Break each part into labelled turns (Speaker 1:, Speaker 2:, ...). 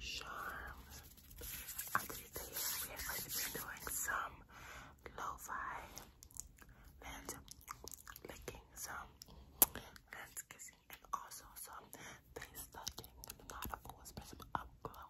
Speaker 1: Charms. After the we are going to be doing some
Speaker 2: lo-fi licking, some lens kissing, and also some face touching. Not a cool expressive up close.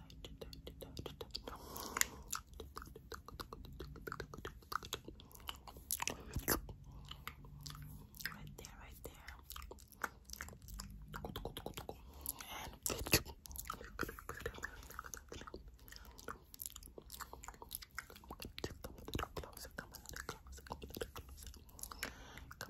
Speaker 2: Right there, right there. And Come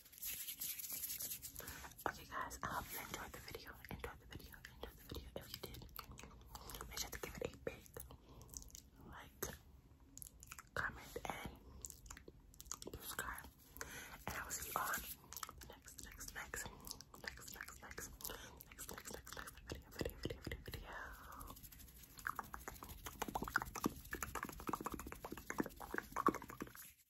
Speaker 3: Okay guys, I hope you enjoyed the video. Enjoyed the video. Enjoyed the video. If you did, make sure to give it a big
Speaker 4: like, comment, and subscribe. And I will see you on the next, next, next, next, next, next, next, next, next, next, next video, video, video, video, video.